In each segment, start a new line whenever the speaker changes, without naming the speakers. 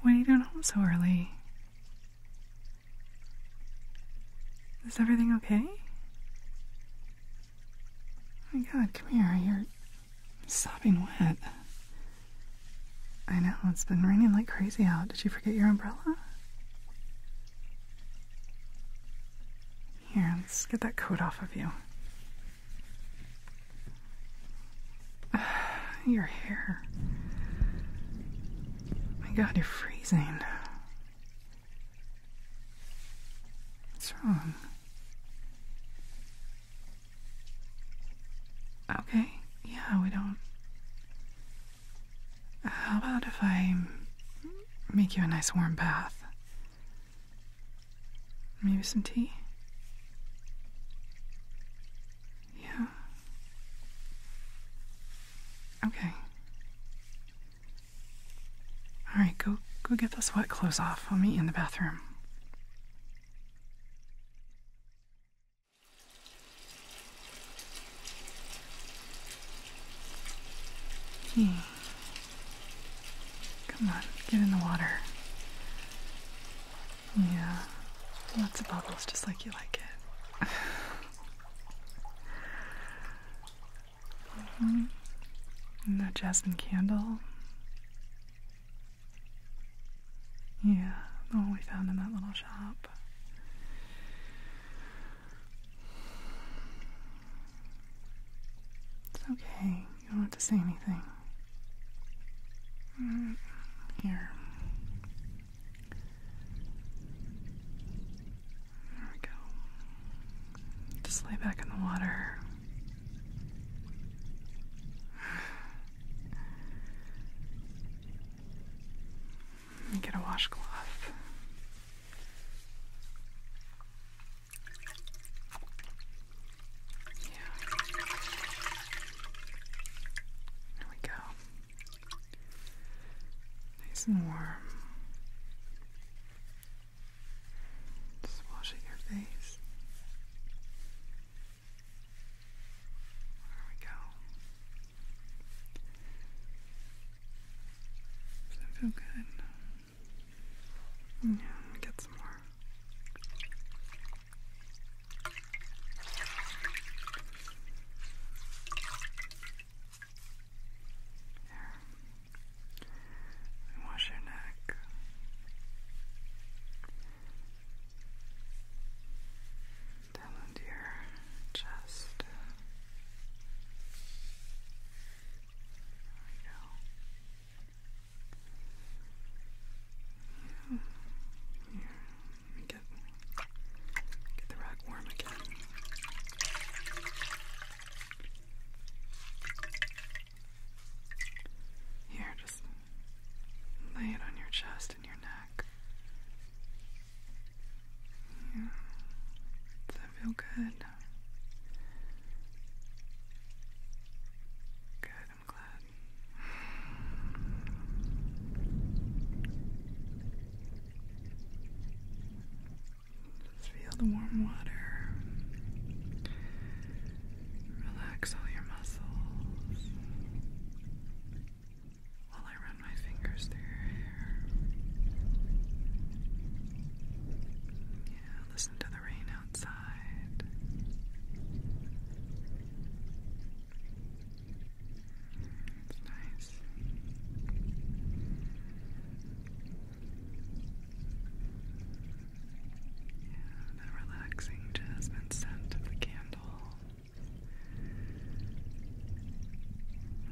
When are you going home so early? Is everything okay? Oh my god, come here. You're sobbing wet. I know, it's been raining like crazy out. Did you forget your umbrella? Here, let's get that coat off of you. your hair. My god, you're freezing. What's wrong? Okay, yeah, we don't. How about if I make you a nice warm bath? Maybe some tea? Yeah. Okay. All right, go go get those wet clothes off. I'll meet you in the bathroom. Hmm. Come on, get in the water. Yeah, lots of bubbles just like you like it. Mm-hmm. And that jasmine candle. Yeah, the one we found in that little shop. It's okay. You don't have to say anything here. There we go. Just lay back in the water. Get a washcloth. Yeah. There we go. Nice and warm. Just washing your face. There we go. Does that feel good? Yeah, get some more. There. wash your neck. Down your chest. There we yeah. let me get, get the rag warm again. Here, just lay it on your chest and your neck. Does that feel good? Good, I'm glad. Just feel the warm water. Relax all your muscles while I run my fingers through your hair listen to the rain outside. It's nice. the relaxing jasmine scent of the candle.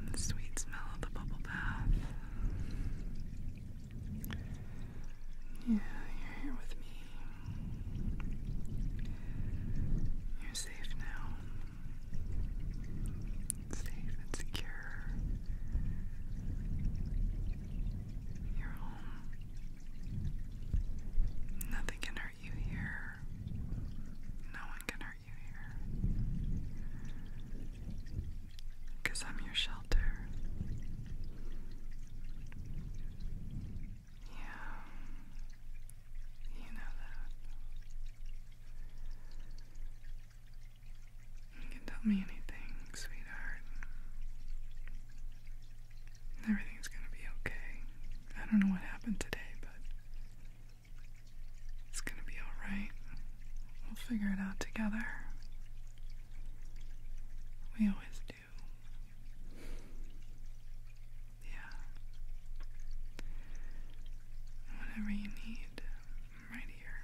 And the sweet smell of the bubble bath. Yeah, you're here with me. You're safe now. Safe and secure. You're home. Nothing can hurt you here. No one can hurt you here. Cause I'm your shelter. Yeah. You know that. You can tell me anything, sweetheart. Everything's gonna be okay. I don't know what happened today, but it's gonna be alright. We'll figure it out together. We always do. Yeah. Whatever you need, I'm right here.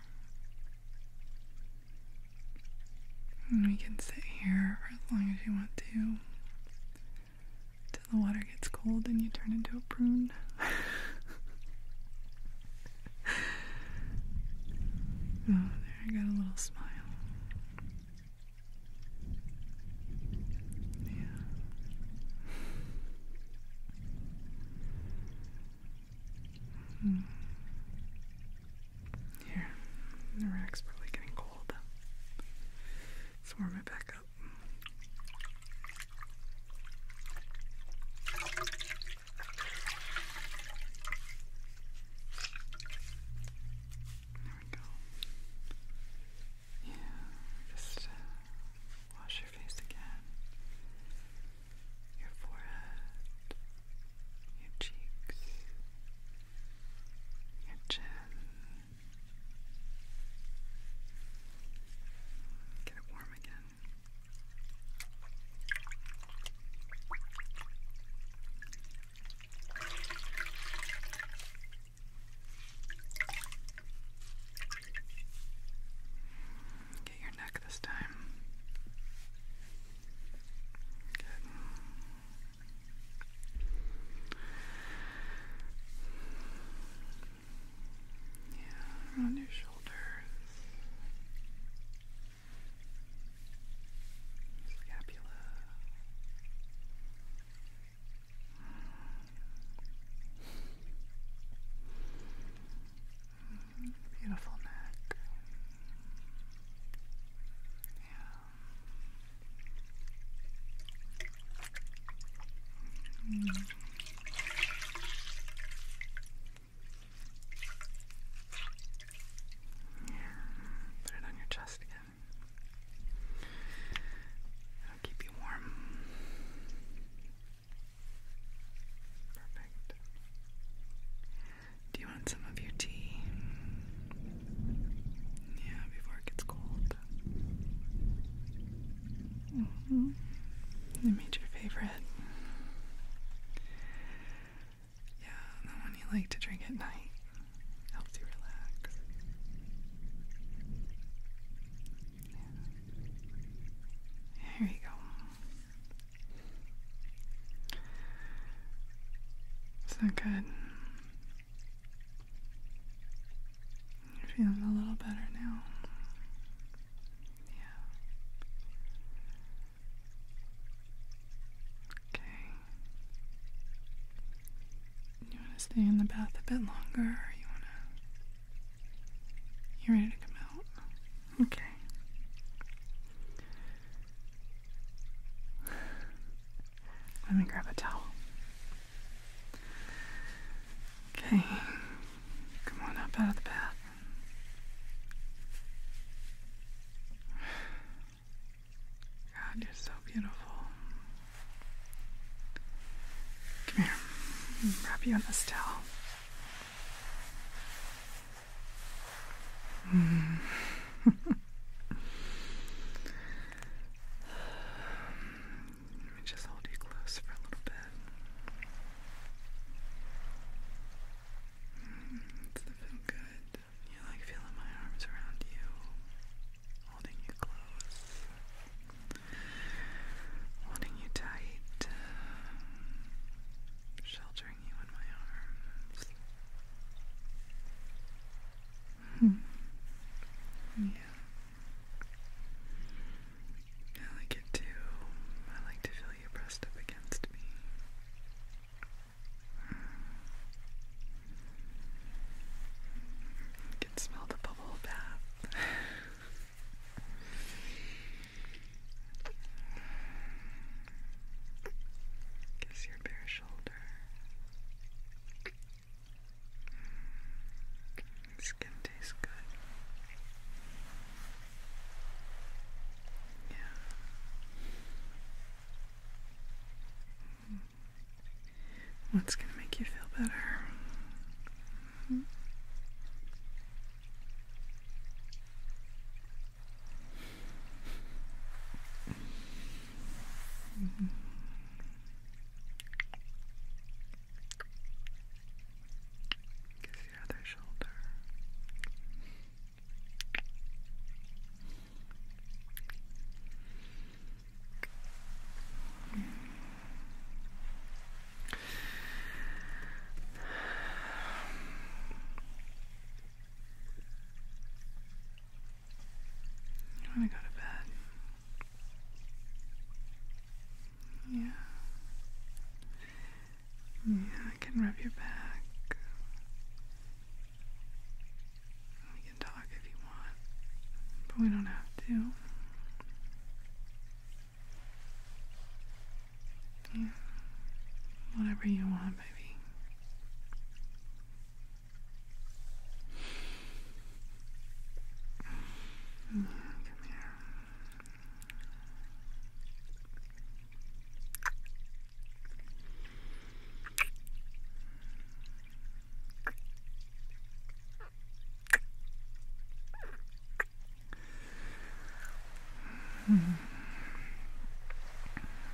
And we can sit here for as long as you want to. Till the water gets cold and you turn into a prune. Oh, there I got a little smile. Yeah. Hmm. Here, the rack's probably getting cold. Let's warm it back up. There we go. Yeah, just wash your face again. Your forehead, your cheeks, your chin. Get it warm again. Get your neck this time. Good. Yeah, around your shoulders. Scapula. beautiful neck. Yeah. Mm. Put it on your chest again. It'll keep you warm. Perfect. Do you want some of your tea? Yeah, before it gets cold. Mm -hmm. favorite. Yeah, the one you like to drink at night. Helps you relax. Yeah. you go. Is that good? You're feeling a little better now. Yeah. Okay. You want to stay in the bath a bit longer, or you want to? You ready to come out? Okay. Let me grab a towel. Okay, come on up out of the bath. God, you're so beautiful. Come here, I'll wrap you in this towel. Mm. Let me just hold you close for a little bit. Mm, does it good? You like feeling my arms around you, holding you close, holding you tight, sheltering you in my arms. Hmm. Yeah. I like it too. I like to feel you pressed up against me. can smell the bubble bath. Kiss your bare shoulder skin tastes good. Yeah. Hmm. What's gonna make you feel better? Hmm. Mm -hmm. Kiss your other shoulder. Mm -hmm. to go to bed. Yeah. Yeah, I can rub your back. We can talk if you want, but we don't have to. Yeah. Whatever you want, baby come here.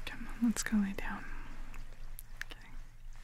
Come on, let's go lay down. Okay.